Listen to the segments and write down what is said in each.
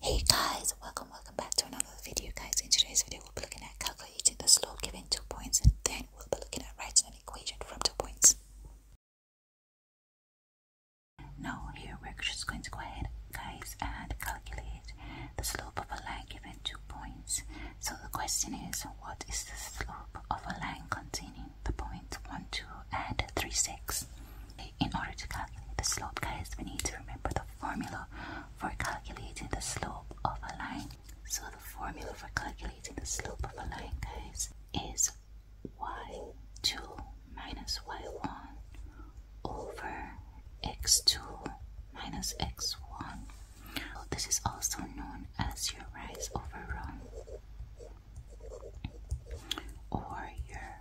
Hey guys, welcome, welcome back to another video guys. In today's video we'll be looking at calculating the slope given two points and then we'll be looking at writing an equation from two points. Now here we're just going to go ahead guys and calculate the slope of a line given two points. So the question is what is the slope of a line containing the points point 1, 2 and 3, 6? In order to calculate the slope, guys, we need to remember the formula for calculating the slope of a line. So the formula for calculating the slope of a line, guys, is y2 minus y1 over x2 minus x1. this is also known as your rise over run or your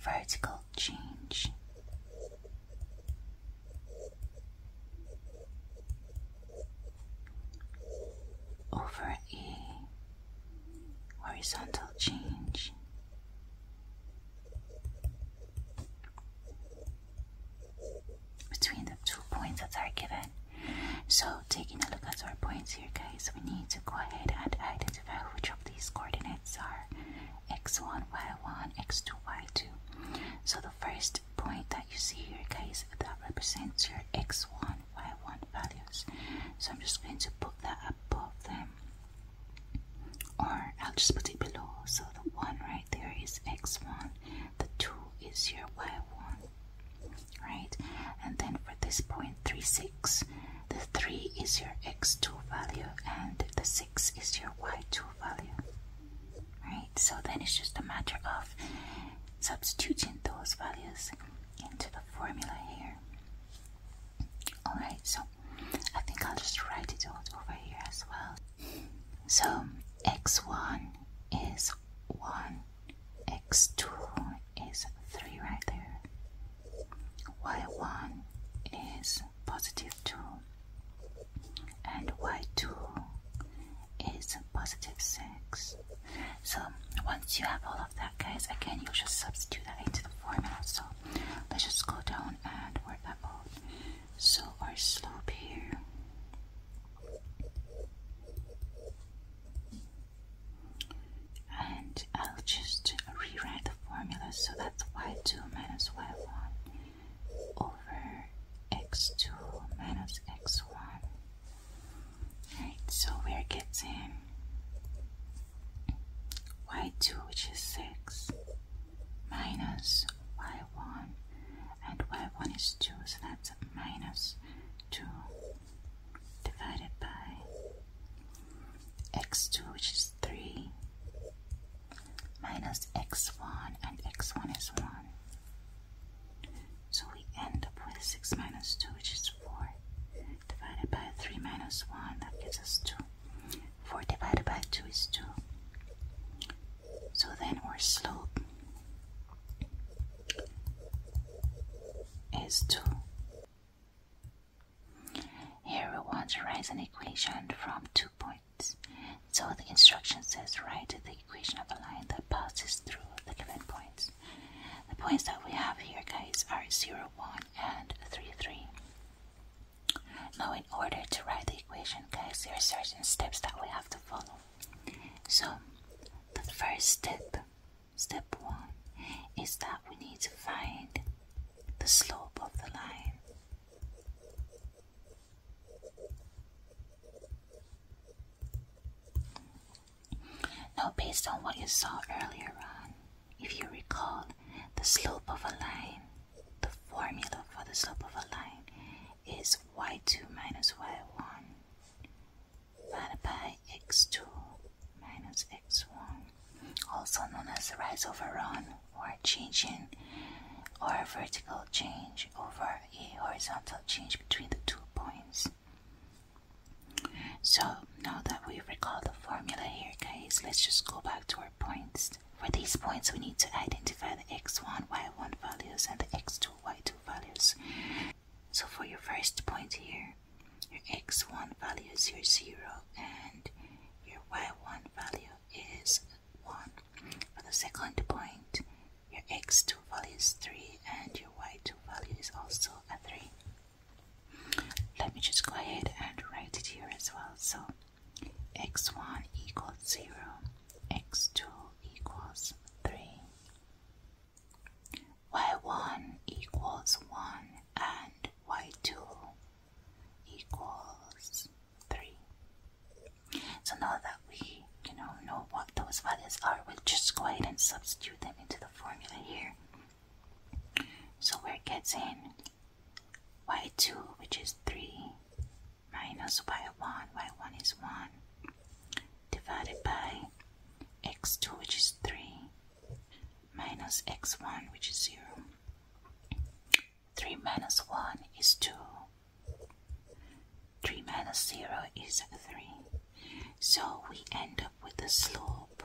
vertical change. Over a horizontal change. Between the two points that are given. So, taking a look at our points here, guys, we need to go ahead and identify which of these coordinates are x1, y1, x2, y2. So the first point that you see here, guys, that represents your x1, y1 values. So I'm just going to put that above them. Or I'll just put it below. So the 1 right there is x1, the 2 is your y1, right? And then for this point, point, three six, the 3 is your x2 value, and the 6 X is your y2 value, right? So then it's just a matter of substituting those values into the formula here. Alright, so I think I'll just write it out over here as well. So x1 is 1, x2 is 3 right there, y1 is positive 2 and y2 is positive 6 so once you have all of that guys again you just substitute that into the formula so let's just go down and work that out so our slope here and I'll just rewrite formula, so that's y2 minus y1 over x2 minus x1. Alright, so we're getting y2, which is 6, minus y1, and y1 is 2, so that's minus 2 divided by x2, which is 3, minus x1 and x1 is 1. So we end up with 6 minus 2 which is 4 divided by 3 minus 1 that gives us 2. 4 divided by 2 is 2. So then our slope is 2. Here we want to write an equation from two points. So the instruction says write the equation of a line that passes through the given points. The points that we have here, guys, are 0, 1 and 3, 3. Now, in order to write the equation, guys, there are certain steps that we have to follow. So, the first step, step 1, is that we need to find the slope of the line. Now, based on what you saw earlier on, if you recall, the slope of a line, the formula for the slope of a line is y2 minus y1 divided by x2 minus x1 also known as the rise over run or change in, or a vertical change over a horizontal change between the two points. So now that we recall the formula here guys, let's just go back to our points. For these points we need to identify the x1, y1 values and the x2, y2 values. So for your first point here, your x1 value is your 0 and your y1 value is 1. For the second point, your x2 value is 3 and your y2 value is also a 3. Let me just go ahead and write it here as well. So x1 equals 0, x2 equals 3, y1 equals 1, and y2 equals 3. So now that we you know, know what those values are, we'll just go ahead and substitute them into the formula here. So we're getting y2 which is 3 minus y1, y1 is 1 divided by x2 which is 3 minus x1 which is 0 3 minus 1 is 2. 3 minus 0 is 3. So we end up with the slope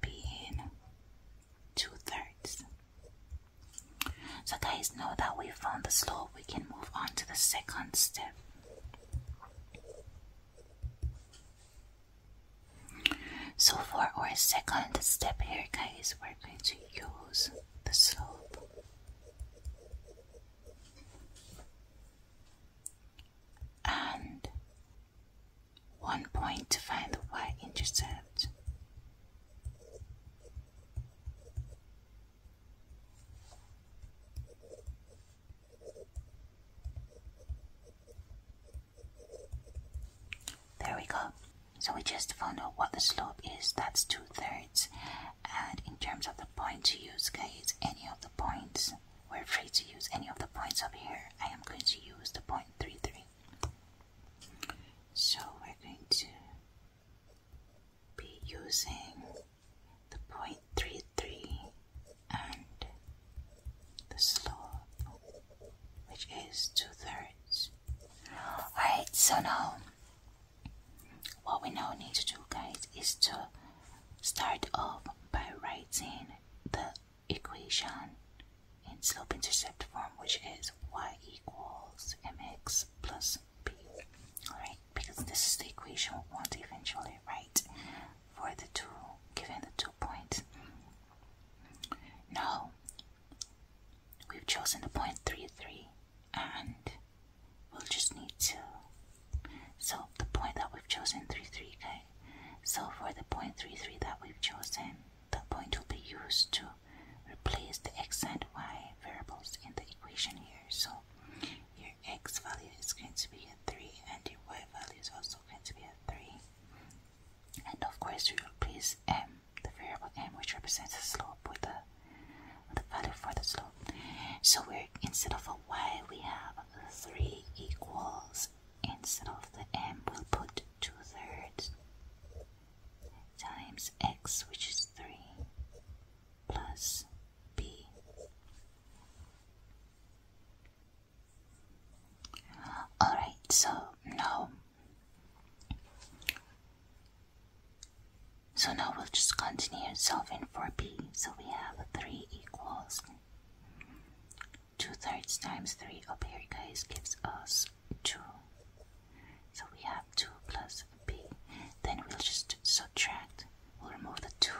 being 2 thirds. So guys, know that we found the slope, we can move on to the second step. So for our second step here guys, we're going to use the slope and one point to find the y-intercept. There we go. So we just found out what the slope is, that's two thirds. And in terms of the point to use, guys, any of the points, we're free to use any of the points up here. I am going to use the point 33. So we're going to be using the point 33 and the slope, which is two thirds. Alright, so now what we now need to do, guys, is to start off by writing the equation in slope intercept form, which is y equals mx plus b. Alright, because this is the equation we want to eventually write for the two given the two points. Now we've chosen the point three three, and we'll just need to solve the point that we've chosen 33 okay so for the point three three that we've chosen the point will be used to replace the x and y variables in the equation here so your x value is going to be a 3 and your y value is also going to be a 3 and of course we will place m the variable m, which represents the slope with the, the value for the slope. So we're instead of a y, we have 3 equals. Instead of the m, we'll put 2 thirds times x, which is 3, plus b. Alright, so no. So now we'll just continue solving for b. So we have 3 equals 2 thirds times 3 up here guys gives us 2. So we have 2 plus b. Then we'll just subtract. We'll remove the 2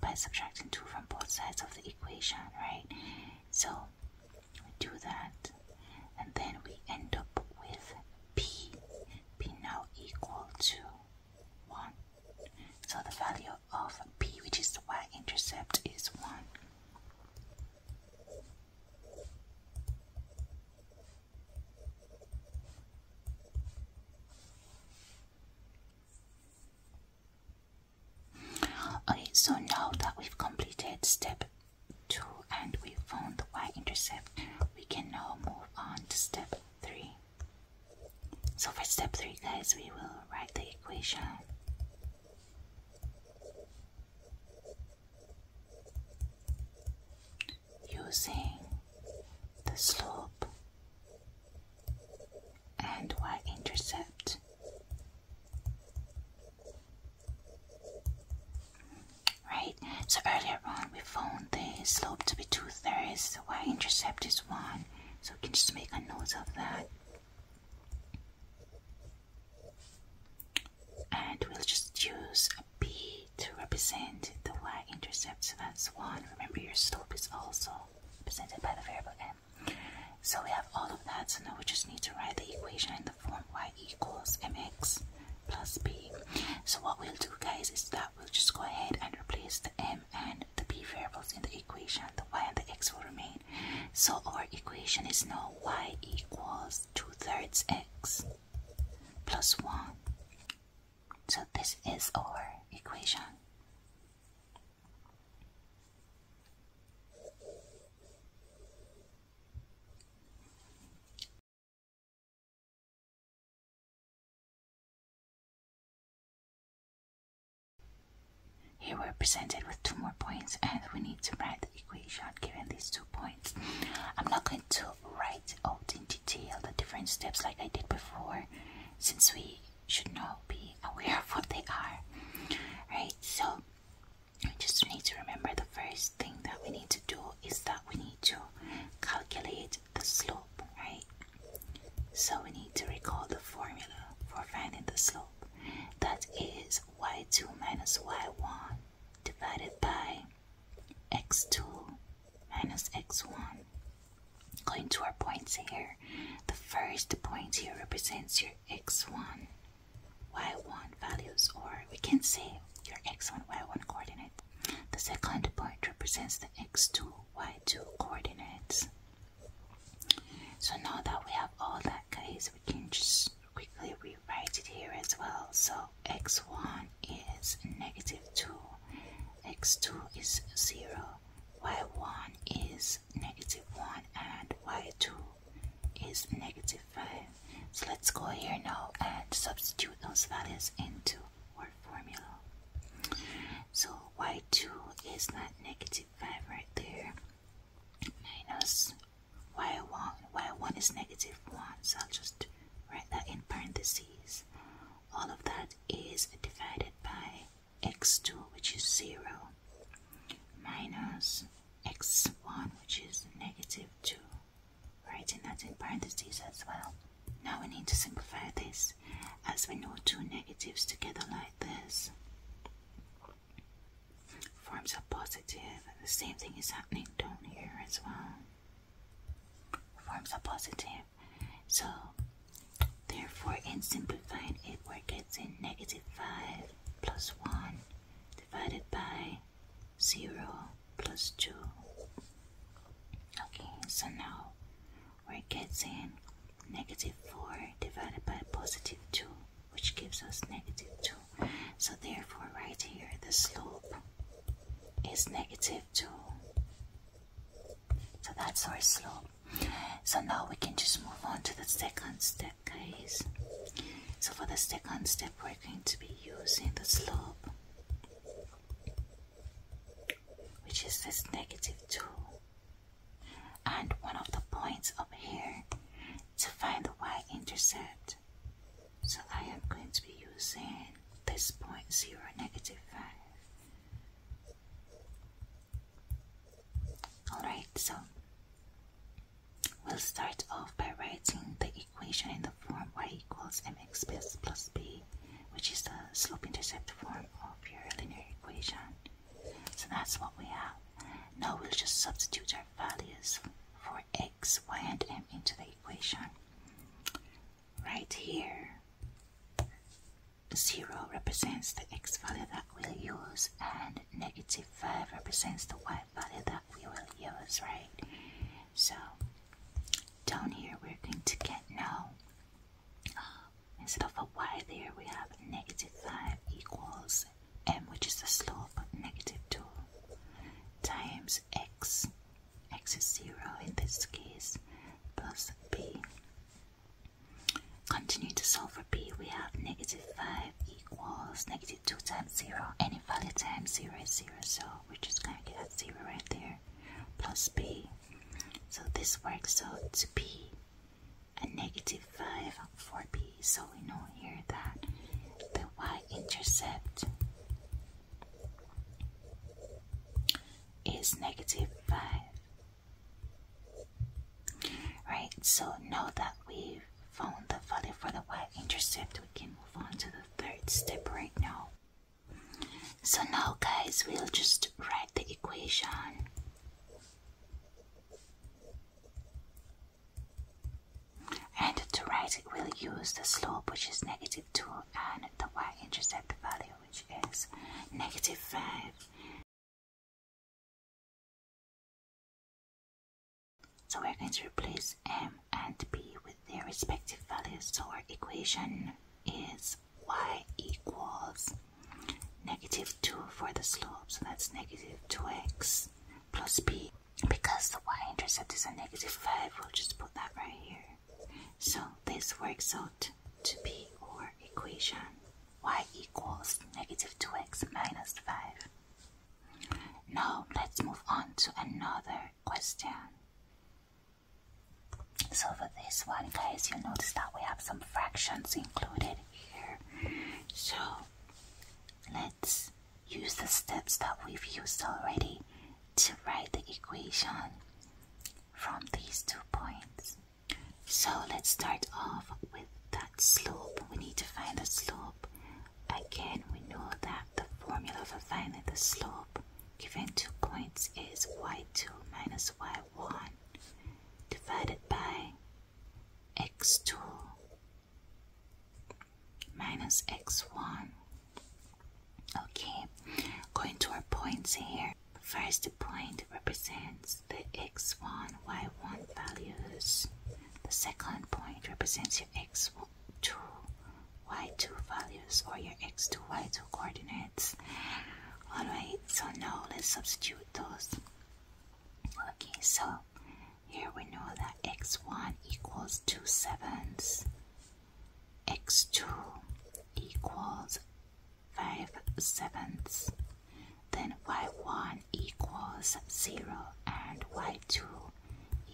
by subtracting 2 from both sides of the equation, right? So so we do that, and then we end up with p, p now equal to 1. So the value of p, which is the y-intercept, is 1. Okay, so now that we've completed step 2 and we found the y-intercept, we can now move on to step 3. So for step 3 guys, we will write the equation. Using the slope and y intercept Right, so earlier on we found the slope to be two thirds, the y-intercept is one, so we can just make a note of that. And we'll just use a b to represent the y-intercept, so that's one. Remember your slope is also represented by the variable m. So we have all of that, so now we just need to write the equation in the y equals mx plus b. So what we'll do guys is that we'll just go ahead and replace the m and the b variables in the equation. The y and the x will remain. So our equation is now y equals 2 thirds x plus 1. So this is our equation. Here we're presented with two more points and we need to write the equation given these two points. I'm not going to write out in detail the different steps like I did before since we should not be aware of what they are. Right, so we just need to remember the first thing that we need to do is that we need to calculate the slope, right? So we need to recall the formula for finding the slope. That is y2 minus y1 divided by x2 minus x1. Going to our points here, the first point here represents your x1 y1 values, or we can say your x1, y1 coordinate. The second point represents the x2, y2 coordinates. So now that we have all that, guys, we can just quickly rewrite it here as well. So x1 is negative 2, x2 is 0, y1 is negative 1, and y2 is negative 5. So let's go here now and substitute those values into our formula. So y2 is not 5 right there, minus y1. y1 is negative 1, so I'll just write that in parentheses. All of that is divided by x2, which is 0, minus x1, which is negative 2 writing that in parentheses as well. Now we need to simplify this, as we know two negatives together like this forms a positive, and the same thing is happening down here as well. Forms a positive. So, therefore, in simplifying it, we're getting negative 5 plus 1 divided by 0 plus 2. Okay, so now we're getting negative 4 divided by positive 2, which gives us negative 2. So therefore, right here, the slope is negative 2. So that's our slope. So now we can just move on to the second step, guys. So for the second step, we're I'm going to be using the slope, which is this negative 2, and one of the points up here to find the y intercept. So I am going to be using this point 0, negative 5. Alright, so We'll start off by writing the equation in the form y equals mx plus b, which is the slope-intercept form of your linear equation. So that's what we have. Now we'll just substitute our values for x, y, and m into the equation. Right here, 0 represents the x value that we'll use and negative 5 represents the y value that we will use, right? So, down here we're going to get now, uh, instead of a y there, we have negative 5 equals m, which is the slope, negative 2, times x, x is 0 in this case, plus b. Continue to solve for b, we have negative 5 equals negative 2 times 0, value times 0 is 0 so we're just gonna get that 0 right there plus b so this works out to be a negative 5 for b so we know here that the y-intercept is negative 5 right so now that we've found the value for the y-intercept we can move on to the third step right now. So now guys, we'll just write the equation. And to write it, we'll use the slope, which is negative 2, and the y-intercept value, which is negative 5. So we're going to replace m and b with their respective values. So our equation is y equals negative 2 for the slope. So that's negative 2x plus b. Because the y-intercept is a negative 5, we'll just put that right here. So this works out to be our equation y equals negative 2x minus 5. Now let's move on to another question. So for this one, guys, you notice that we have some fractions included here. So let's use the steps that we've used already to write the equation from these two points. So let's start off with that slope. We need to find the slope. Again, we know that the formula for finding the slope given two points is y2 minus y1 divided by x2 minus x1. Okay, going to our points here. First point represents the x1, y1 values. The second point represents your x1, two y2 values or your x2 y2 coordinates alright so now let's substitute those okay so here we know that x1 equals 2 sevenths x2 equals 5 sevenths then y1 equals 0 and y2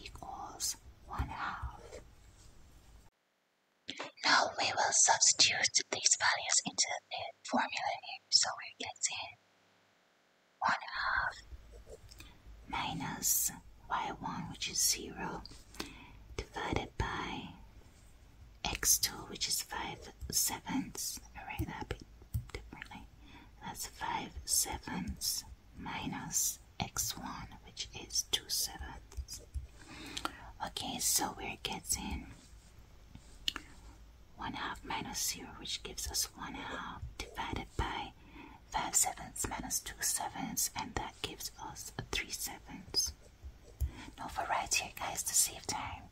equals plus 1 half. Now we will substitute these values into the formula here, so we get in 1 half minus y1 which is 0 divided by x2 which is 5 sevenths. I write that a bit differently. That's 5 sevenths minus x1 which is 2 sevenths okay so we're getting 1 half minus 0 which gives us 1 half divided by 5 sevenths minus 2 sevenths and that gives us 3 sevenths no for right here guys to save time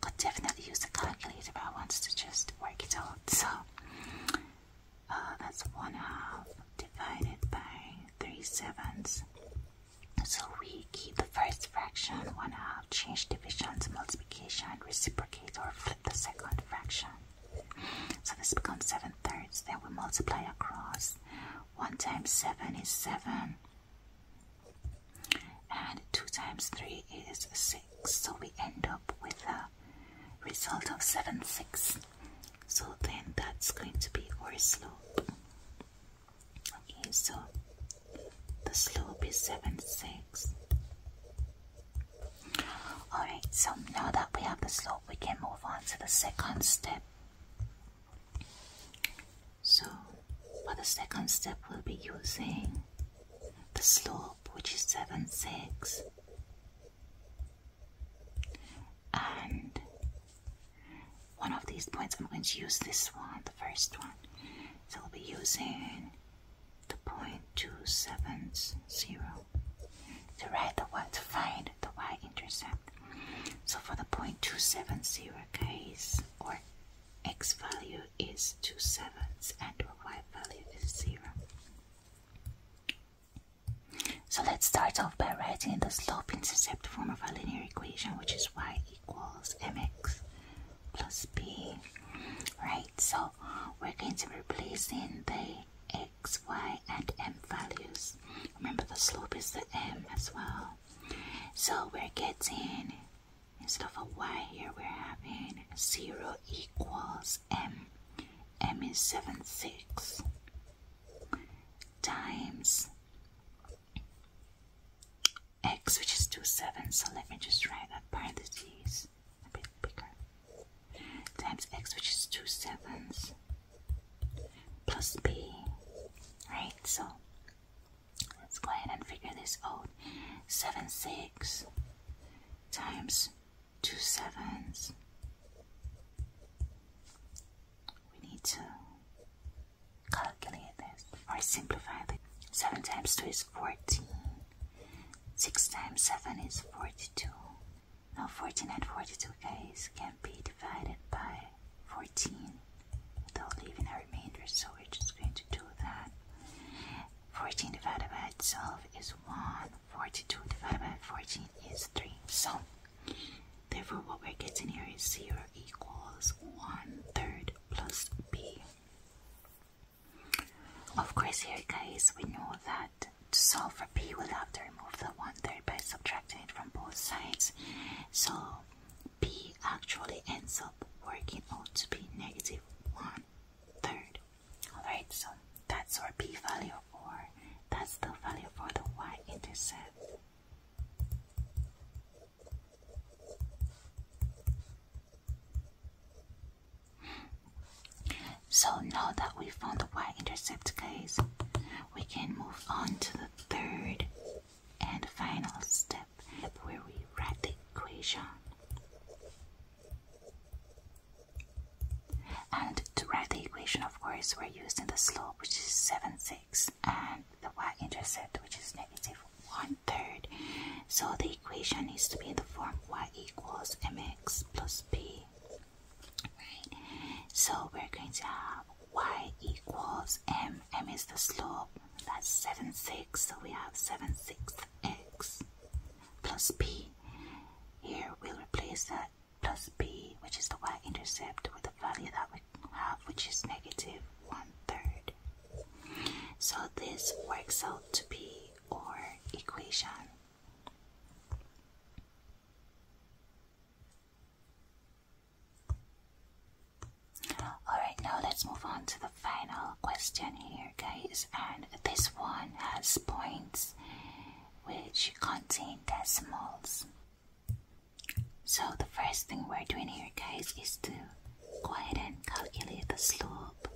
could definitely use a calculator but I wanted to just work it out so uh, that's one half divided by three sevenths. So we keep the first fraction one half, change divisions, multiplication, reciprocate, or flip the second fraction. So this becomes seven thirds. Then we multiply across. One times seven is seven, and two times three is six. So we end up with a result of 7, 6. So then that's going to be our slope. Okay, so the slope is 7, 6. Alright, so now that we have the slope, we can move on to the second step. So, for the second step, we'll be using the slope, which is 7, 6, and one of these points I'm going to use this one, the first one. So we will be using the point two seven zero to write the y to find the y-intercept. So for the point two seven zero case or x value is two sevenths and our y value is zero. So let's start off by writing the slope-intercept form of a linear equation, which is y equals mx plus b. Right, so we're going to be replacing the x, y, and m values. Remember, the slope is the m as well. So we're getting, instead of a y here, we're having 0 equals m. m is 7, 6 times x, which is 2, 7. So let me just write that parentheses a bit bigger. Times x, which is 2 seven, plus b. Right, so let's go ahead and figure this out. 7, 6 times two sevens. We need to calculate this or simplify it. 7 times 2 is 14. 6 times 7 is 42. Now 14 and 42 guys can be divided by 14 without leaving a remainder so we're just going to do that. 14 divided by itself is 1. 42 divided by 14 is 3. So Therefore, what we're getting here is 0 equals 1 third plus b. Of course, here, guys, we know that to solve for b, we'll have to remove the 1 third by subtracting it from both sides. So, b actually ends up working out to be negative 1 third. Alright, so that's our p value or that's the value for the y-intercept. So now that we found the y-intercept case, we can move on to the third and final step where we write the equation. And to write the equation, of course, we're using the slope, which is 7, 6, and the y-intercept, which is negative 1 third. So the equation needs to be in the form y equals mx plus b. Right? So we're going to have y equals m. m is the slope. That's 7, 6. So we have 7, 6 x plus b. Here we'll replace that plus b, which is the y-intercept, with a value that we have, which is negative one-third. So this works out to be our equation. Alright, now let's move on to the final question here, guys. And this one has points which contain decimals. So the first thing we're doing here guys is to go ahead and calculate the slope,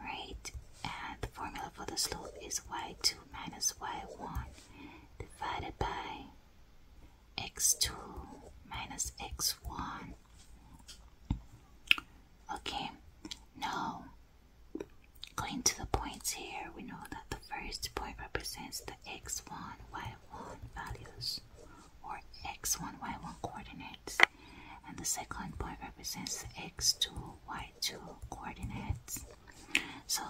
right? And the formula for the slope is y2 minus y1 divided by x2 minus x1. Okay, now Going to the points here, we know that the first point represents the x1, y1 values or x1, y1 coordinates, and the second point represents the x2, y2 coordinates. So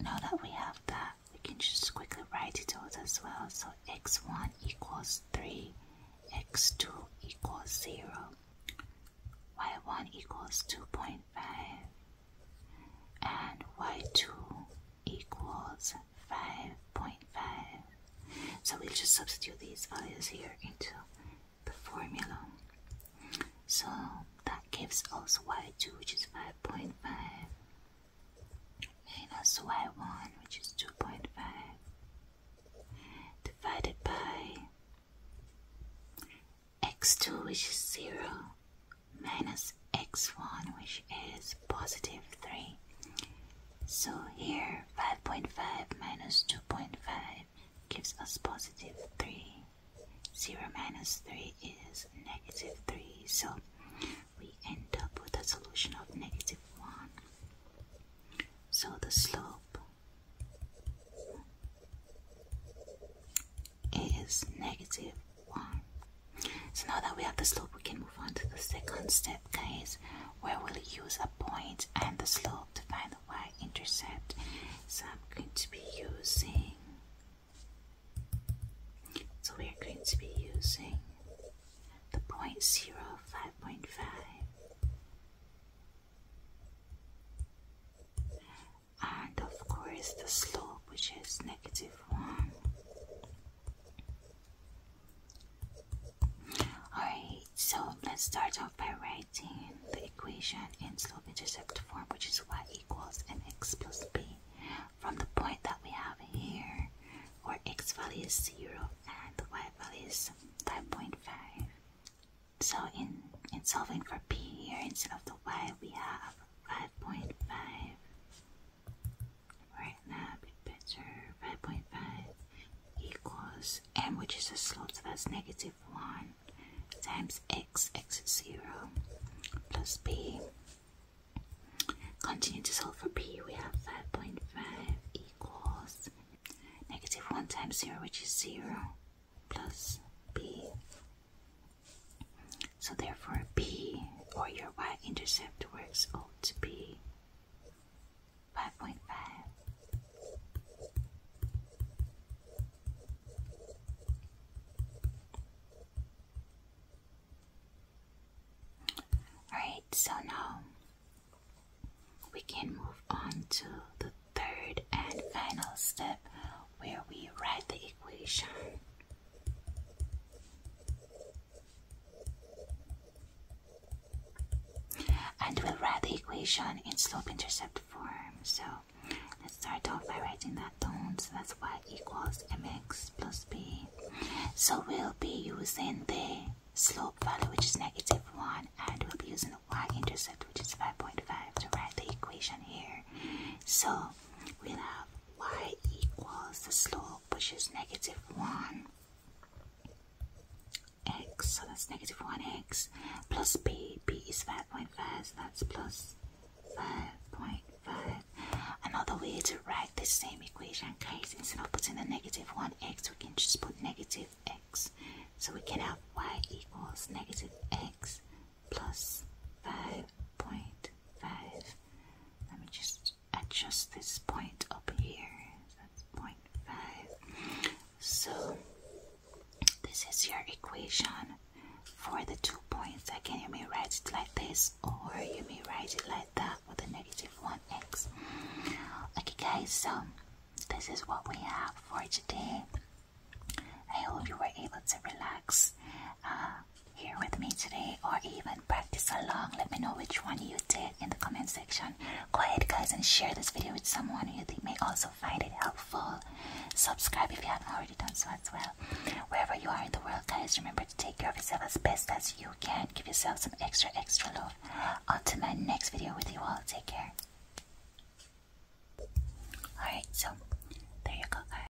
now that we have that, we can just quickly write it out as well. So x1 equals 3, x2 equals 0, y1 equals 2.5 and y2 equals 5.5. So we'll just substitute these values here into the formula. So that gives us y2 which is 5.5 minus y1 which is 2.5 divided by x2 which is 0 minus x1 which is positive 3. So here 5.5 minus 2.5 gives us positive 3. 0 minus 3 is negative 3. So we end up with a solution of negative 1. So the slope is negative 1. So now that we have the slope, we can move on to the second step, guys, where we'll use a point and the slope to find the y-intercept. So I'm going to be using, so we're going to be using the point point zero five point five and of course the slope which is negative 1. Alright, so let's start off by writing the equation in slope intercept form which is y equals mx plus b from the point that we have here where x value is 0 and the y value is 5.5. So in, in solving for b here instead of the y we have 5.5 right now bit better 5.5 equals m which is a slope so that's negative 1 times x x is 0 plus b continue to solve for b we have 5.5 equals negative 1 times 0 which is 0 plus b so therefore P or your y-intercept works out to be 5.5. Alright, so now we can move on to the third and final step where we write the equation and we'll write the equation in slope-intercept form. So let's start off by writing that down. So that's y equals mx plus b. So we'll be using the slope value, which is negative 1, and we'll be using the y-intercept, which is 5.5, to write the equation here. So we'll have y equals the slope, which is negative 1 x, so that's negative 1x, plus b, b is 5.5, that's plus 5.5. Another way to write this same equation, guys, instead of putting the negative 1x, we can just put negative x. So we can have y equals negative x plus 5.5. Let me just adjust this point up here. That's 0.5. So this is your equation for the two points. Again, you may write it like this or you may write it like that with a negative 1x. Okay guys, so this is what we have for today. I hope you were able to relax. Uh, here with me today or even practice along. Let me know which one you did in the comment section. Go ahead, guys, and share this video with someone you think may also find it helpful. Subscribe if you haven't already done so as well. Wherever you are in the world, guys, remember to take care of yourself as best as you can. Give yourself some extra, extra love. Until my next video with you all, take care. Alright, so there you go, guys.